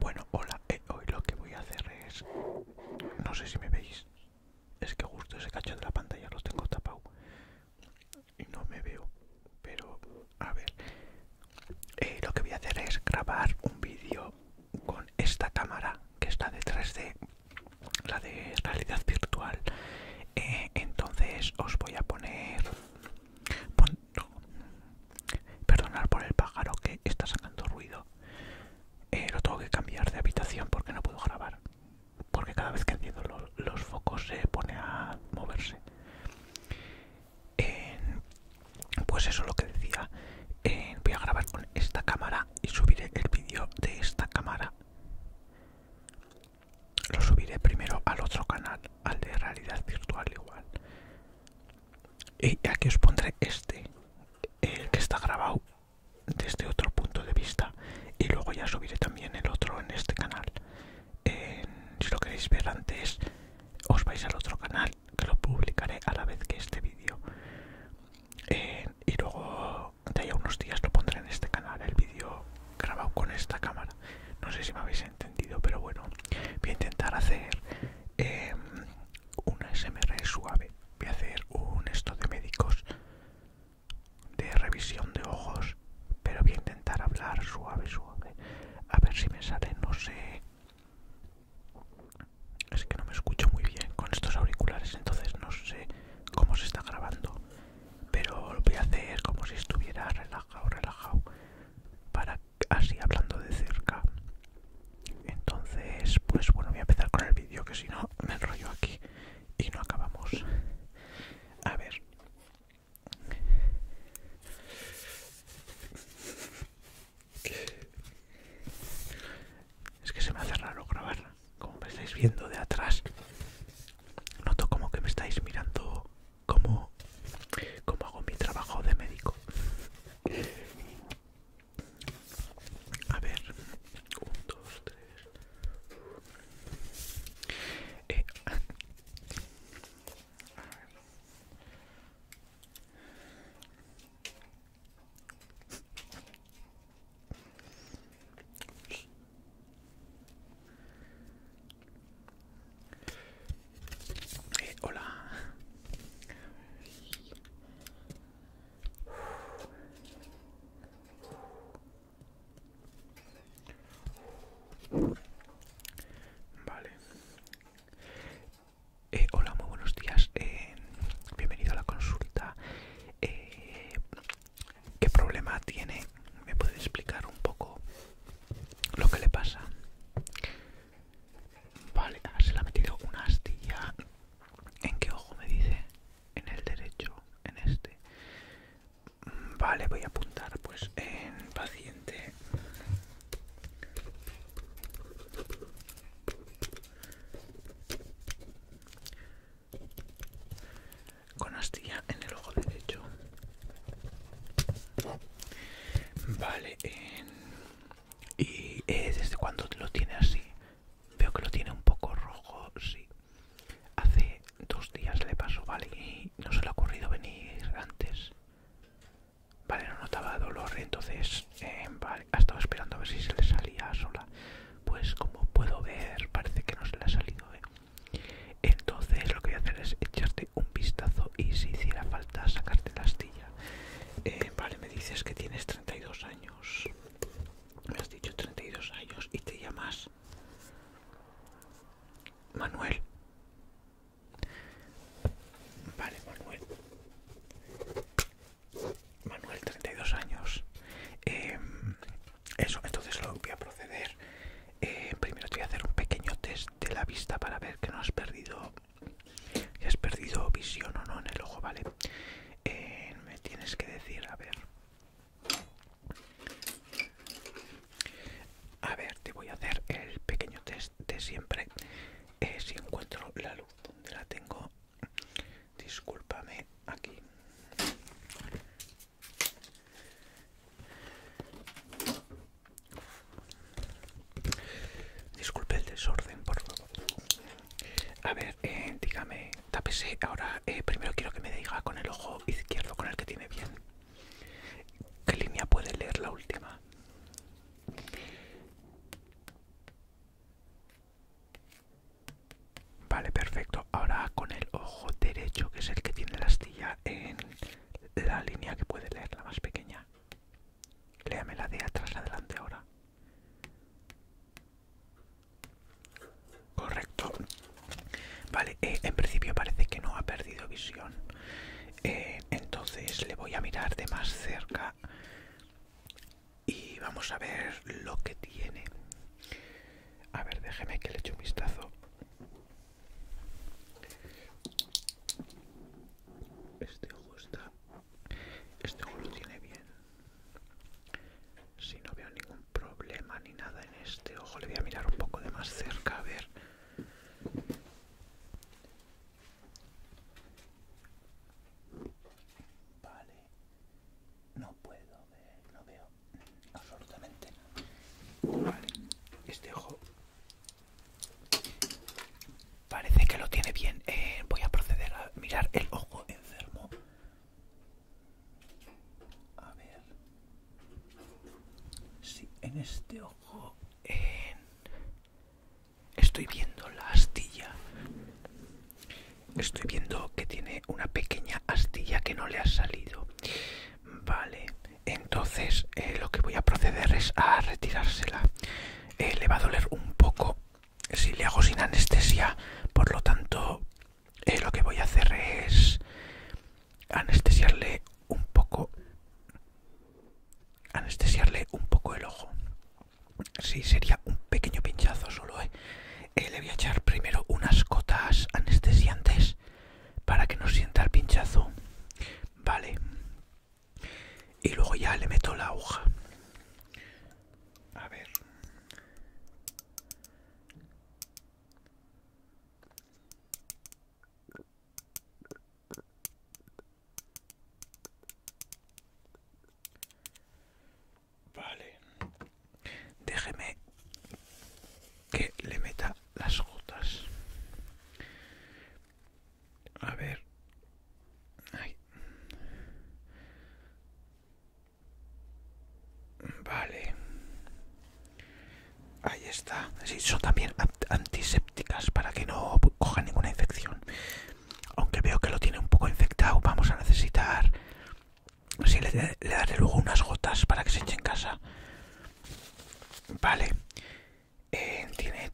Bueno, hola, eh, hoy lo que voy a hacer es... No sé si me veis. Es que justo ese cacho de la pantalla lo tengo tapado. Y no me veo. Pero, a ver. Eh, lo que voy a hacer es grabar un vídeo con esta cámara que está detrás de la de realidad virtual. Eh, entonces os voy a poner... Perdonar por el pájaro que está sacando ruido. Eh, lo tengo que cambiar de habitación porque no puedo grabar. Porque cada vez que enciendo los, focos se pone a moverse. pues eso es lo que decía. voy a grabar con esta cámara y subiré el vídeo de esta cámara. Lo subiré primero al otro canal, al de realidad virtual igual y eh, aquí os pondré este el que está grabado desde otro punto de vista y luego ya subiré también el otro en este canal si lo queréis ver antes os vais al otro canal que lo publicaré a la vez que este vídeo y luego de ahí unos días lo pondré en este canal el vídeo grabado con esta cámara no sé si me habéis entendido, pero bueno, voy a intentar hacer em, una SMR suave. Voy a hacer un esto de médicos de revisión de ojos, pero voy a intentar hablar suave, suave. A ver si me sale, no sé. Es que no me escucho muy bien con estos auriculares, entonces no sé cómo se está grabando. Pero lo voy a hacer como si estuviera relajado, relajado, para así hablando de cerca. Entonces, pues bueno, voy a empezar con el vídeo que si no me enrollo aquí y no acabamos. A ver. Es que se me hace raro grabar, como me estáis viendo de atrás. Noto como que me estáis mirando cómo, como hago mi trabajo de médico. A ver, eh, eh, hola. Vale. Eh, hola, muy buenos días. Eh, bienvenido a la consulta. Eh, ¿Qué problema tiene? ¿Me puede explicar un poco lo que le pasa. Vale, se le ha metido una astilla. ¿En qué ojo me dice? En el derecho, en este. Vale, voy a apuntar pues en paciente. Con astilla en el ojo derecho. Vale, y eh, desde cuando lo tiene así, veo que lo tiene un poco rojo, sí. Hace dos días le pasó, vale, y no se le ha ocurrido venir antes. Vale, no notaba dolor, entonces, eh, ha estado esperando a ver si se le salía sola. Pues como puedo ver, parece que no se le ha salido, eh. Entonces lo que voy a hacer es echarte un vistazo y si hiciera falta sacarte la astilla. Eh, vale, me dices que tienes 32 años. Me has dicho 32 años y te llamas Manuel. Vale, Manuel. Manuel, 32 años. Em, eso, entonces lo voy a proceder eh, primero te voy a hacer un pequeño test de la vista para ver que no has perdido has perdido visión o no en el ojo vale eh, me tienes que decir a ver a ver te voy a hacer el pequeño test de siempre eh, si encuentro la luz donde la tengo discúlpame aquí Disculpe el desorden, por favor. A ver, eh, dígame, tapese. Ahora, eh, primero quiero que me diga con el ojo izquierdo, con el que tiene bien. ¿Qué línea puede leer la última? Vale, perfecto. Ahora con el ojo derecho, que es el que tiene la astilla en la línea que puede leer, la más pequeña. Léame la de atrás adelante ahora. Correcto. Vale, eh, en principio parece que no ha perdido visión. Eh, entonces le voy a mirar de más cerca y vamos a ver lo que tiene. A ver, déjeme que le eche un vistazo. Este ojo está... Este ojo lo tiene bien. Si no veo ningún problema ni nada en este ojo, le voy a mirar un poco de más cerca a ver. Vale. No puedo ver, no veo absolutamente este ojo parece que lo tiene bien eh, voy a proceder a mirar el ojo enfermo a ver si en este ojo estoy viendo la astilla estoy viendo que tiene una pequeña astilla que no le ha salido Vale, entonces eh, lo que voy a proceder es a retirársela. Eh, le va a doler un poco si le hago sin anestesia, por lo tanto eh, lo que voy a hacer es anestesiarle un poco, anestesiarle un poco el ojo. Sí, sería un pequeño pinchazo solo, Le voy a echar primero unas cotas anestesiantes para que no sienta el pinchazo. Vale. Y luego ya le meto la hoja A ver. Vale déjeme que le meta las gotas a ver vale ahí está sí, son también antisépticas para que no coja ninguna infección aunque veo que lo tiene un poco infectado vamos a necesitar si le, daré luego unas gotas para que se eche en casa. Vale. Eh, tiene...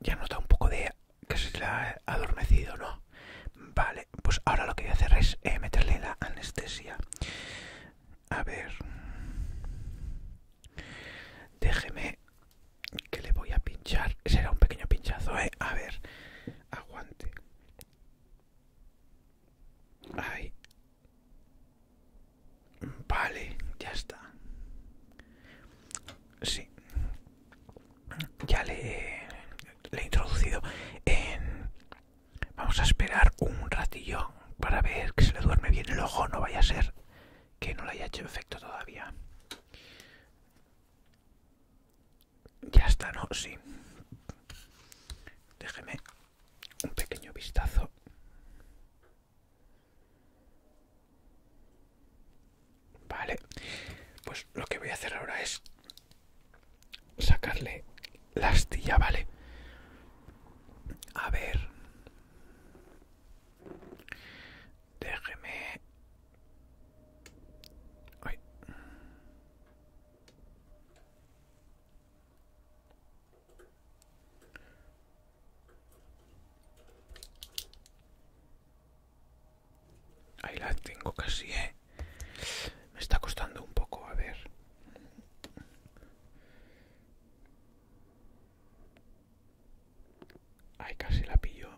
Ya nota un poco de que se le ha adormecido, ¿no? Vale, pues ahora lo que voy a hacer es eh, meterle la anestesia. A ver... Déjeme que le voy a pinchar. Será un pequeño pinchazo, ¿eh? A ver, aguante. Ay. Vale, ya está. Sí. Ya le, he introducido Vamos a esperar un ratillo para ver que se le duerme bien el ojo. No vaya a ser que no le haya hecho efecto todavía. Ya está, ¿no? Sí. Déjeme un pequeño vistazo. Vale. Pues lo que voy a hacer ahora es sacarle la astilla, ¿vale? A ver. Déjeme... Ahí la tengo casi, ¿eh? Me está costando un poco, a ver. Ahí casi la pillo.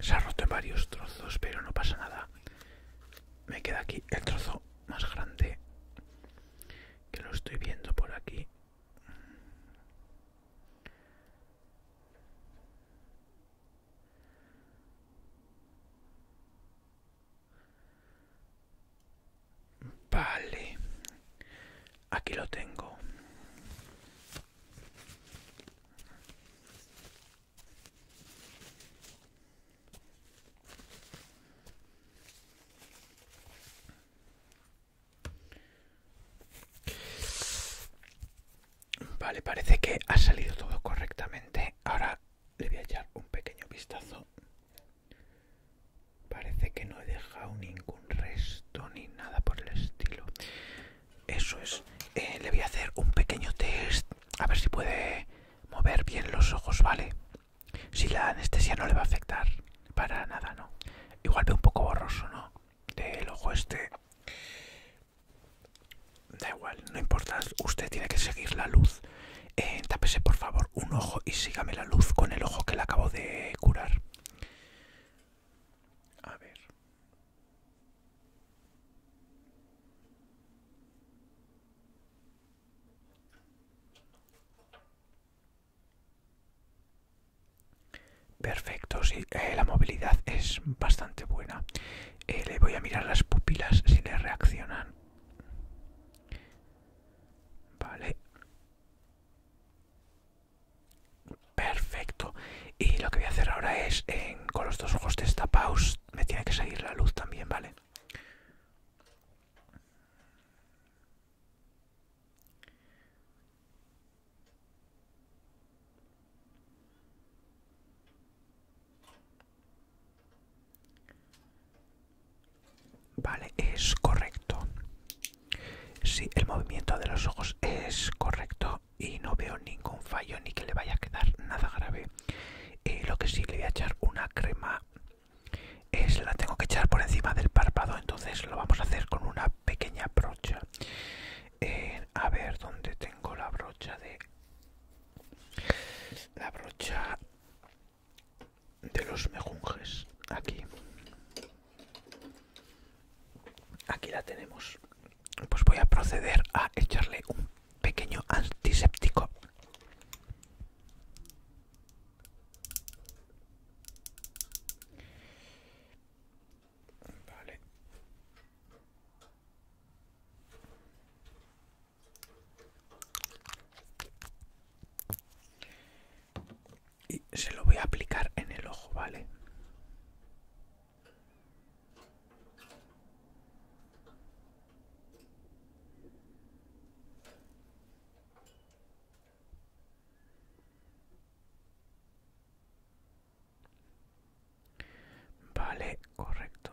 Se ha roto en varios trozos, pero no pasa nada. Me queda aquí el trozo más grande que lo estoy viendo por aquí. Vale, Aquí lo tengo. Vale, parece que ha salido todo correctamente. Ahora le voy a echar un pequeño vistazo Parece que no he dejado ningún resto ni nada por el estilo. Eso es. Eh, le voy a hacer un pequeño test. A ver si puede mover bien los ojos, ¿vale? Si la anestesia no le va a afectar. Para nada, ¿no? Igual ve un poco borroso, ¿no? Del ojo este. Da igual, no importa. Usted tiene que seguir la luz. Eh, tápese por favor un ojo y sígame la luz con el ojo que le acabo de curar. A ver. Perfecto, sí, eh, la movilidad es bastante buena. Eh, le voy a mirar las pupilas si le reaccionan. Vale. Perfecto. Y lo que voy a hacer ahora es, con los dos ojos pausa, me tiene que seguir la luz también, ¿vale? Vale, es correcto. si el movimiento de los ojos es correcto y no veo ningún fallo ni que le vaya a quedar nada grave. lo que sí le voy a echar una crema es la tengo que echar por encima del párpado, entonces lo vamos a hacer con una pequeña brocha. Eh, a ver dónde tengo la brocha de la brocha de los mejunjes aquí aquí la tenemos pues voy a proceder a echarle un pequeño antiséptico vale y se lo voy a aplicar en el ojo, ¿vale? Vale, correcto.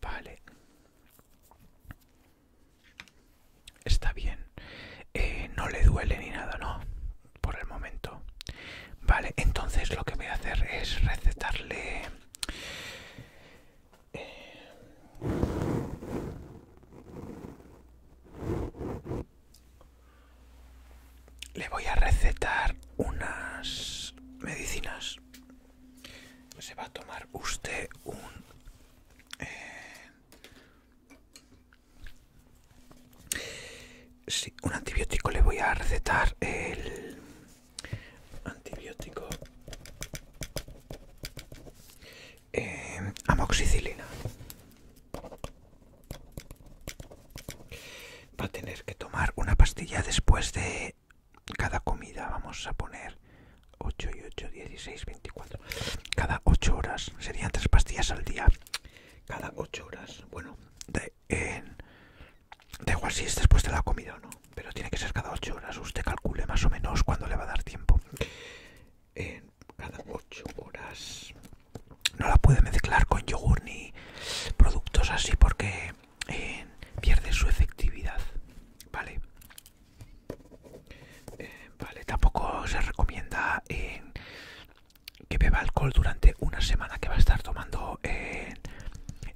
Vale. Está bien. Eh, no le duele ni nada, ¿no? Por el momento. Vale, entonces lo que voy a hacer es recetarle... Eh, le voy a recetar unas medicinas se va a tomar usted un eh, un antibiótico le voy a recetar el antibiótico eh, amoxicilina va a tener que tomar una pastilla después de cada comida, vamos a poner 8 y 8, 16, 24. Cada 8 horas serían 3 pastillas al día. Cada 8 horas, bueno, de, da igual si es después de la comida o no, pero tiene que ser cada 8 horas. Usted calcule más o menos cuándo le va a dar tiempo. en cada 8 horas no la puede mezclar con yogur ni productos así porque pierde su efectividad, ¿vale? Eh, vale, tampoco se recomienda que beba alcohol durante una semana que va a estar tomando eh,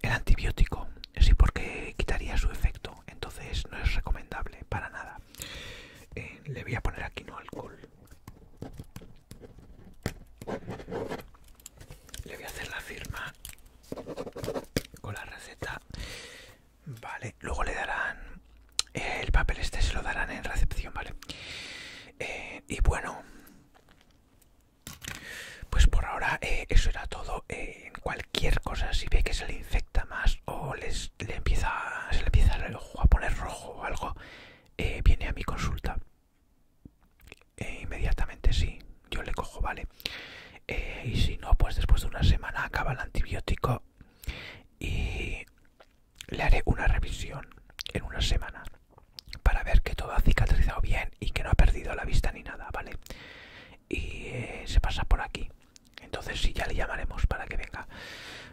el antibiótico, sí, porque quitaría su efecto, entonces no es recomendable para nada. Eh, le voy a poner aquí no alcohol le voy a hacer la firma con la receta vale luego le darán eh, el papel este se lo darán en recepción vale eh, y bueno pues por ahora eh, eso era todo en cualquier cosa si ve que se le infecta más o les le empieza se le empieza a poner rojo o algo viene a mi consulta e inmediatamente sí, yo le cojo, vale. Eh, y si no, pues después de una semana acaba el antibiótico y le haré una revisión en una semana para ver que todo ha cicatrizado bien y que no ha perdido la vista ni nada, ¿vale? Y eh, se pasa por aquí. Entonces sí, ya le llamaremos para que venga.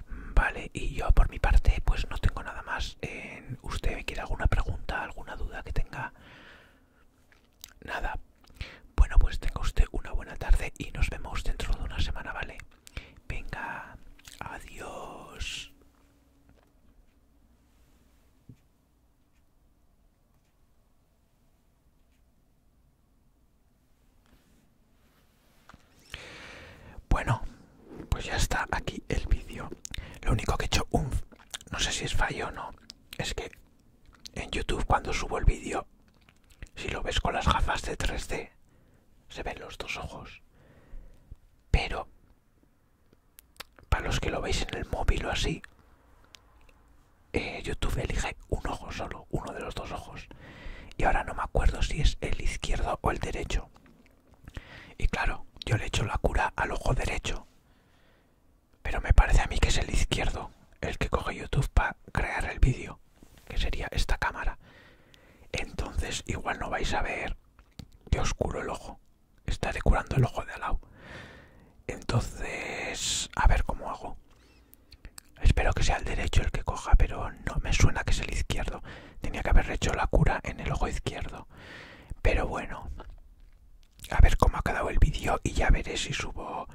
Mm, vale, y yo por mi parte pues no tengo nada más. en eh, ¿Usted quiere alguna pregunta, alguna duda que tenga? Nada. Bueno, pues tenga usted una buena tarde y nos vemos dentro de una semana, ¿vale? Venga, adiós. Bueno, pues ya está aquí el vídeo. Lo único que he hecho un... no sé si es fallo o no es que en YouTube cuando subo el vídeo, si lo ves con las gafas de 3D, se ven los dos ojos. Pero, para los que lo veis en el móvil o así, eh, YouTube elige un ojo solo, uno de los dos ojos. Y ahora no me acuerdo si es el izquierdo o el derecho. Y claro, yo le echo la cura al ojo derecho. Pero me parece a mí que es el izquierdo el que coge YouTube para crear el vídeo, que sería esta cámara. Entonces igual no vais a ver que oscuro el ojo. Estaré curando el ojo de al lado. Entonces, a ver cómo hago. Espero que sea el derecho el que coja, pero no me suena que es el izquierdo. Tenía que haber hecho la cura en el ojo izquierdo. Pero bueno, a ver cómo ha quedado el vídeo y ya veré si subo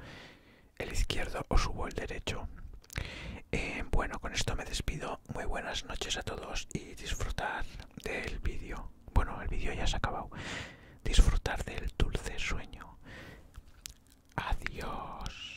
el izquierdo o subo el derecho. Eh, bueno, con esto me despido. Muy buenas noches a todos y disfrutar del vídeo. Bueno, el vídeo ya se ha acabado. Disfrutar del dulce sueño. Adiós.